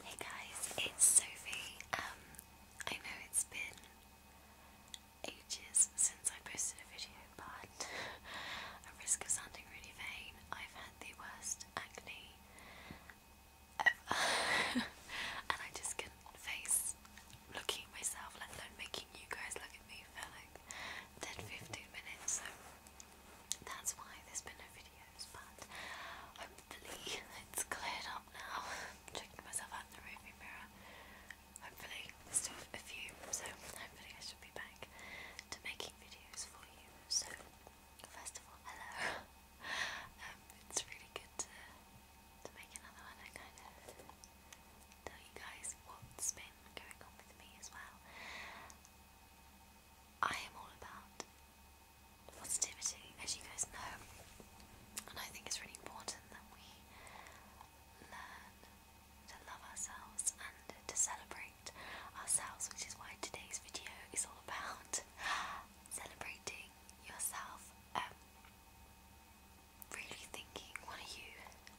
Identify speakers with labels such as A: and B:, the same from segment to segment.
A: Hey guys, it's Sophie. Um, I know it's been ages since I posted a video, but at risk of sounding really vain, I've had the worst acne ever. and I just couldn't face looking at myself, let making you guys look at me for like 10 15 minutes. So that's why there's been no video but hopefully it's cleared up now. checking myself out in the mirror. Hopefully, still a few, so hopefully I should be back to making videos for you. So, first of all, hello. Um, it's really good to, to make another one. I kind of tell you guys what's been going on with me as well. I am all about positivity, as you guys know. And I think it's really important that we learn to love ourselves and to celebrate ourselves, which is why today's video is all about celebrating yourself. Um, really thinking, what are you,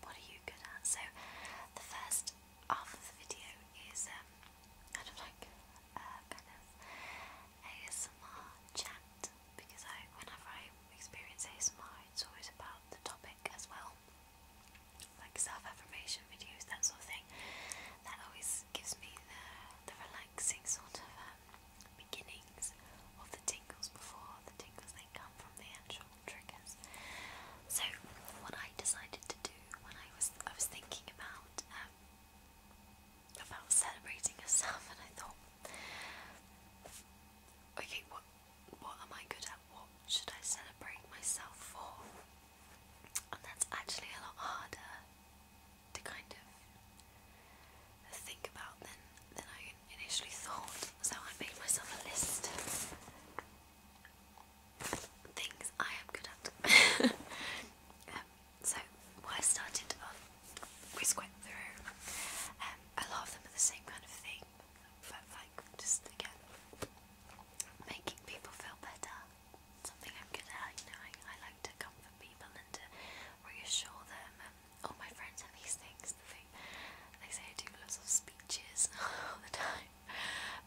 A: what are you good at? So the first half of the video is um, kind like uh, kind of ASMR chat because I, whenever I experience ASMR, it's always about the topic as well, like self-affirmation videos, that sort of thing. That always gives me the relaxing sort of um, beginnings of the tingles before the tingles they come from the actual triggers. So what I decided to do when I was I was thinking about. Um, about celebrating yourself, and I thought, okay, what what am I good at? What should I celebrate myself for? And that's actually a lot harder to kind of think about than than I initially thought. So I made myself a list things I am good at. Um, so I started off. we went through um, a lot of them are the same kind of thing, but like just again making people feel better. Something I'm good at. You know, I, like to comfort people and to reassure them. Um, all my friends have these things. they say I do lots of speeches all the time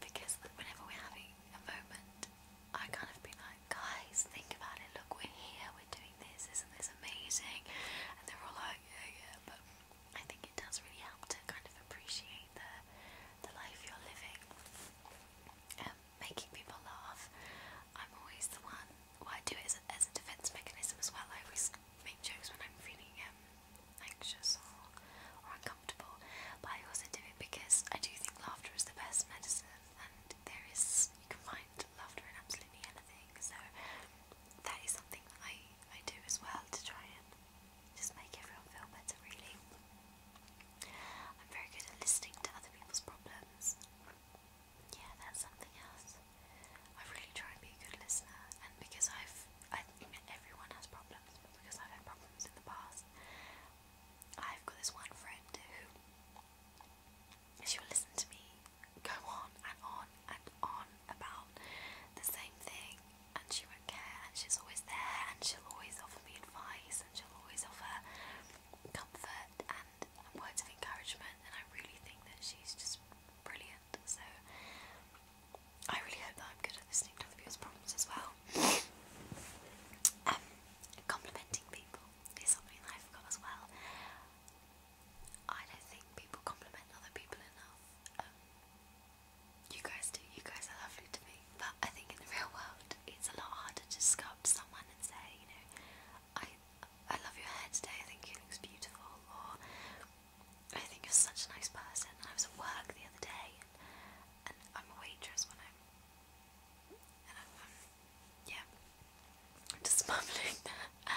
A: because whenever we're having a moment I kind of been like, guys, think about it. Look, we're here. We're doing this. Isn't this amazing? And they're all like, yeah, yeah. But I think it does really help to kind of appreciate the the life you're living. And making people laugh. I'm always the one. Well, I do it as a, defense mechanism as well. I always make jokes when I'm feeling um, anxious or, or uncomfortable comfortable. But I also do it because I do think laughter is the best medicine, and there is you can find laughter in absolutely anything. So that is something that I I do as well to try and just make everyone feel better. Really, I'm very good at listening to other people's problems. Yeah, that's something else. I really try and be a good listener, and because I've I think everyone has problems, but because I've had problems in the past, I've got this one friend who she will listen to me go on and on and on about the same thing, and she won't care, and she's always there, and she'll always offer me advice, and she'll always offer comfort and words of encouragement, and I really think that she's just brilliant. So I really hope that I'm good at listening to other people's problems as well. Um, complimenting people is something I've as well. I don't think people compliment other people enough. Um, you guys do, you guys are lovely to me. But I think in the real world, it's a lot harder to just someone and say, you know, I, I love your hair today, I think you look beautiful, or I think you're such a nice person. I was at work the other day, and I'm a waitress when I'm and yeah, I'm just mumbling um,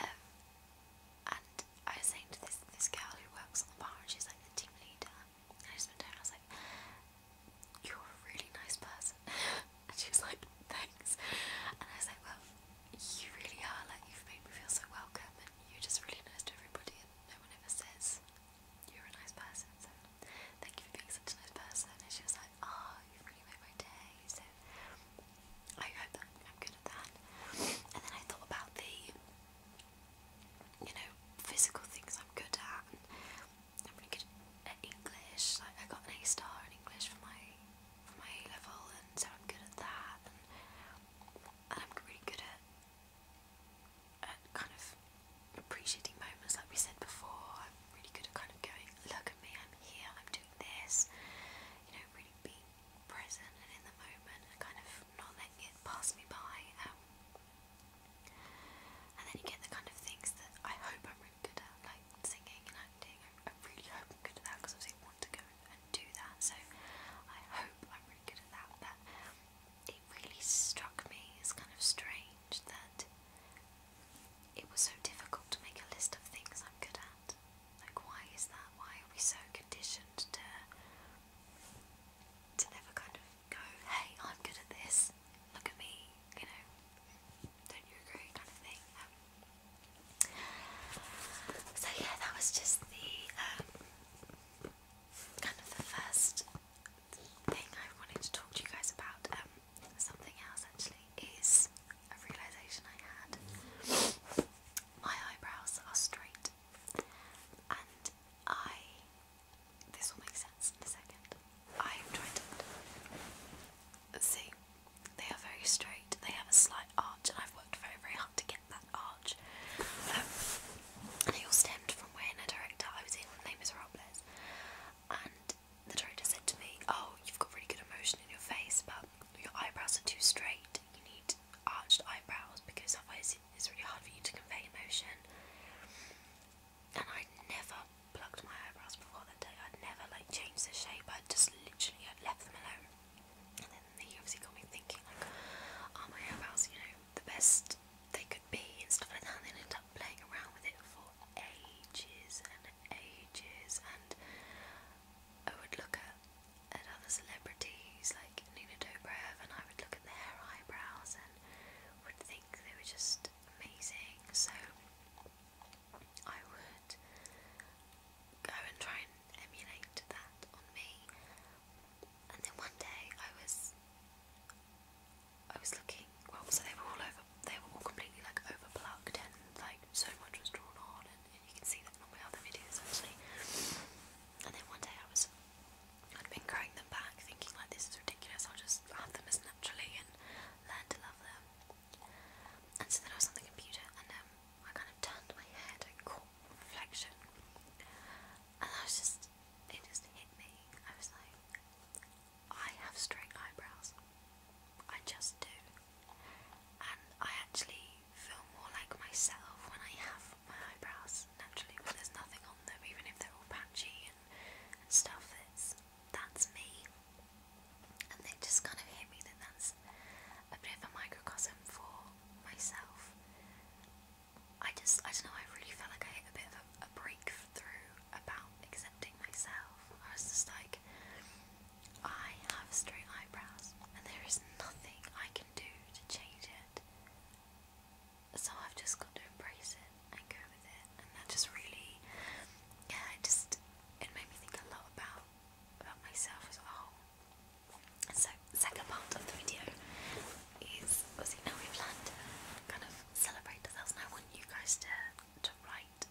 A: and I was saying to this this girl who works on the bar, and she's like the team leader. I just went down and I was like, You're a really nice person. and she was like, Thanks. And I was like, Well, you really are. Like, you've made me feel so welcome, and you're just really nice to everybody, and no one ever says you're a nice person, so thank you for being such a nice person. And she was like, oh, you have really made my day. So I hope that I'm good at that. And then I thought about the, you know, physical things I'm good at. And I'm really good at English. Like I got an A star in English for my for my A level, and so I'm good at that. and I'm really good at at uh, kind of appreciating moments like we said before. I'm really good at kind of going, look at me, I'm here, I'm doing this. You know, really being present and in the moment kind of not letting it pass me by. Um, and then you get the kind of things that I hope I'm really good at, like singing and acting. I, really hope I'm good at that because I want to go and do that. So I hope I'm really good at that it really struck me as kind of strange that it was so difficult to make a list of things I'm good at. Like, why is that? Why are we so conditioned to to never kind of go, hey, I'm good at this, look at me, you know, don't you agree, kind of thing. Um, so yeah, that was just the um, kind of the first thing I wanted to talk to you guys about, um, something else actually, is a realization I had. My eyebrows are straight, and I. This will make sense in a second. I'm trying to see. They are very straight. They have a slight arch, and I've worked very, very hard to get that arch. Um, it all stemmed from when a director I was in on Les Miserables, and the director said to me, "Oh, you've got really good emotion in your face, but your eyebrows are too straight. You need arched eyebrows because otherwise it's really hard for you to convey emotion." And I never plucked my eyebrows before that day. I'd never like changed the shape. I just literally had left them alone. And then he obviously got me thinking like, are oh, my eyebrows, you know, the best they could be and stuff like that. And they ended up playing around with it for ages and ages. And I would look at, at other celebrities like Nina Dobrev, and I would look at their eyebrows and would think they were just amazing. So I would go and try and emulate that on me and then one day I was I was looking well so they were all over they were all completely like overplucked and like so much was drawn on and, you can see that on all my other videos actually and then one day I was I'd been growing them back thinking like this is ridiculous I'll just have them as naturally and learn to love them and so then I was on the computer and um, I kind of turned my head and caught reflection and I was just, it just hit me. I was like, I have straight eyebrows. I just do. And I actually feel more like myself when I have my eyebrows naturally, when there's nothing on them, even if they're all patchy and, stuff. It's, that's me. And they just kind of hit me that that's a bit of a microcosm for myself. I just, I don't know, I really felt like I hit a bit of a, a breakthrough about accepting myself. I was just like, I have straight eyebrows, and there is nothing I can do to change it. So I've just got to embrace it and go with it. And that just really, yeah, it just, it made me think a lot about, about myself as a whole. So, second part of the video is now we plan to kind of celebrate ourselves, and I want you guys to to write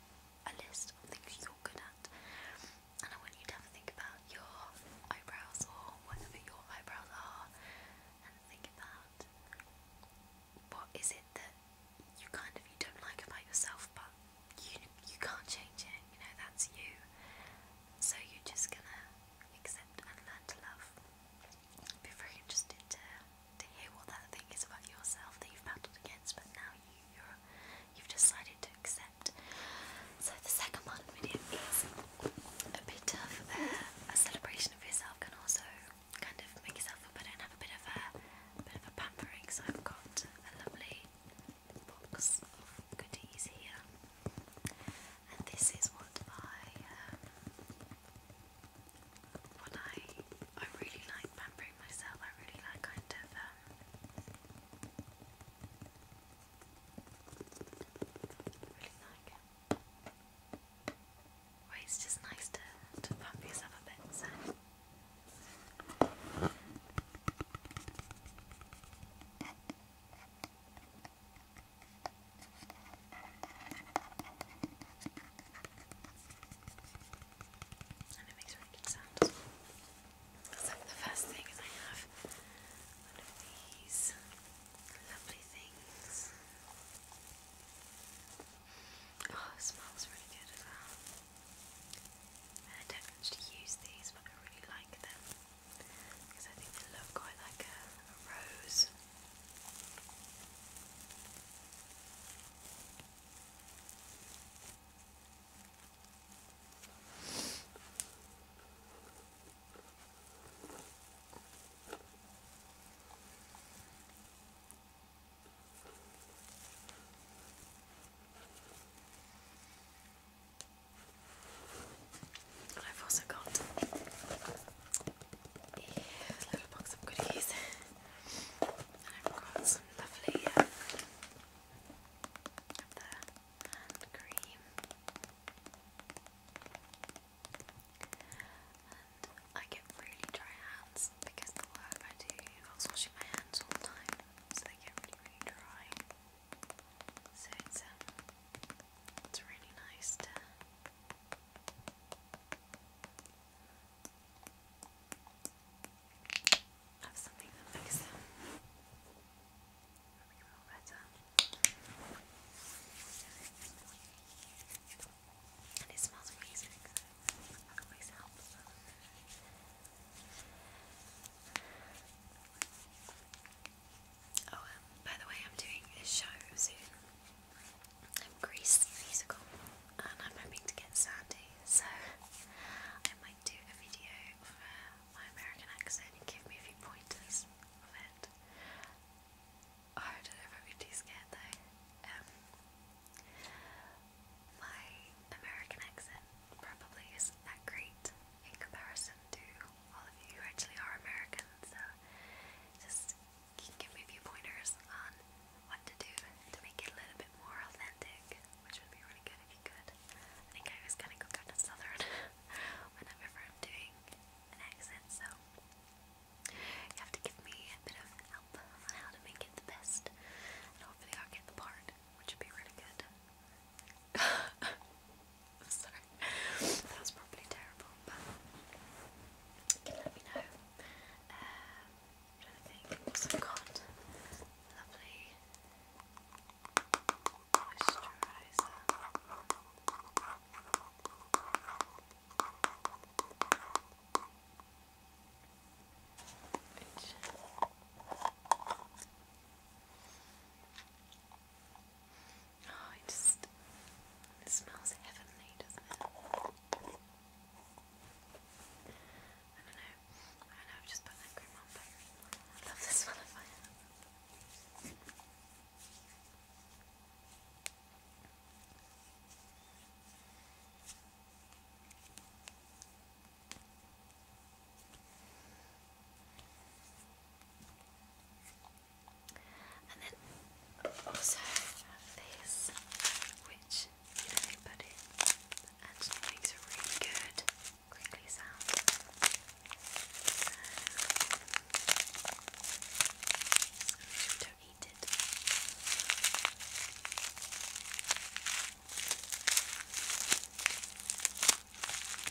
A: a list of things you're good at, and I want you to have think about your eyebrows or whatever your eyebrows are, and think about what is it that you kind of you don't like about yourself, but you you can't change it. You know that's you. So you're just gonna accept and learn to love. I'd be very to hear what that thing is about yourself that you've battled against, but now you you have decided to accept. So the second part of a bit of a celebration of yourself, can also kind of make yourself feel better and have a bit of a bit of a pampering. So I've got a lovely box of goodies here. And this is what I um, what I I really like pampering myself. I really like kind of um, really like it's just nice to to pump yourself a bit. So. And it makes really good sounds. So the first thing is I have one of these lovely things. Oh, it smells really good as well. And I don't actually use these, but I really like them because I think they look quite like a, rose. I've also got a little box of goodies. I've got some lovely um, hand cream. I get really dry hands because the work I do involves washing my hands all the time, so they get really dry. So um, it's really nice to have something that makes them feel better. And it smells amazing, always helps. Oh, um, by the way, I'm doing a show soon. I'm Grease musical, and I'm hoping to get Sandy, so I might do a video of uh, my American accent and give me a few pointers of it. Oh, I don't know if I'd though. Um, my American accent probably isn't that great, in comparison to all of you who actually are American, so just give me a few pointers on what to do to make it a little bit more authentic, which would be really good I think I always kind of go kind southern whenever I'm doing an accent, so you have to give me a bit of help on how to make it the best, and hopefully I'll get the part, which would be really good. sorry. That was probably terrible, but let me know. Um, i think i got. Lovely moisturizer. Oh, it just smells heavenly, doesn't it? I don't know. I don't know, I've just put that cream on, but I love the smell and then also have which you know makes a really good crinkly sound. So,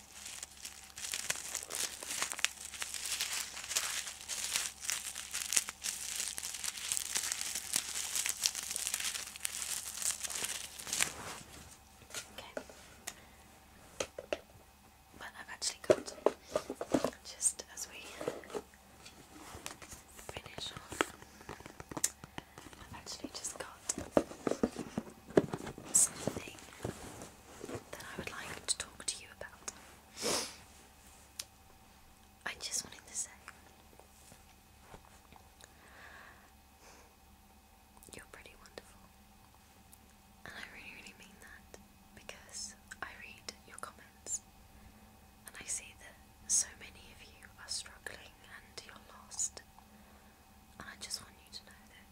A: Okay. But I've actually got just as we finish off, I've actually just got something that I would like to talk to you about. I just wanted to say you're pretty wonderful. And I really, really mean that because I read your comments and I see that so many of you are struggling and you're lost. And I just want you to know that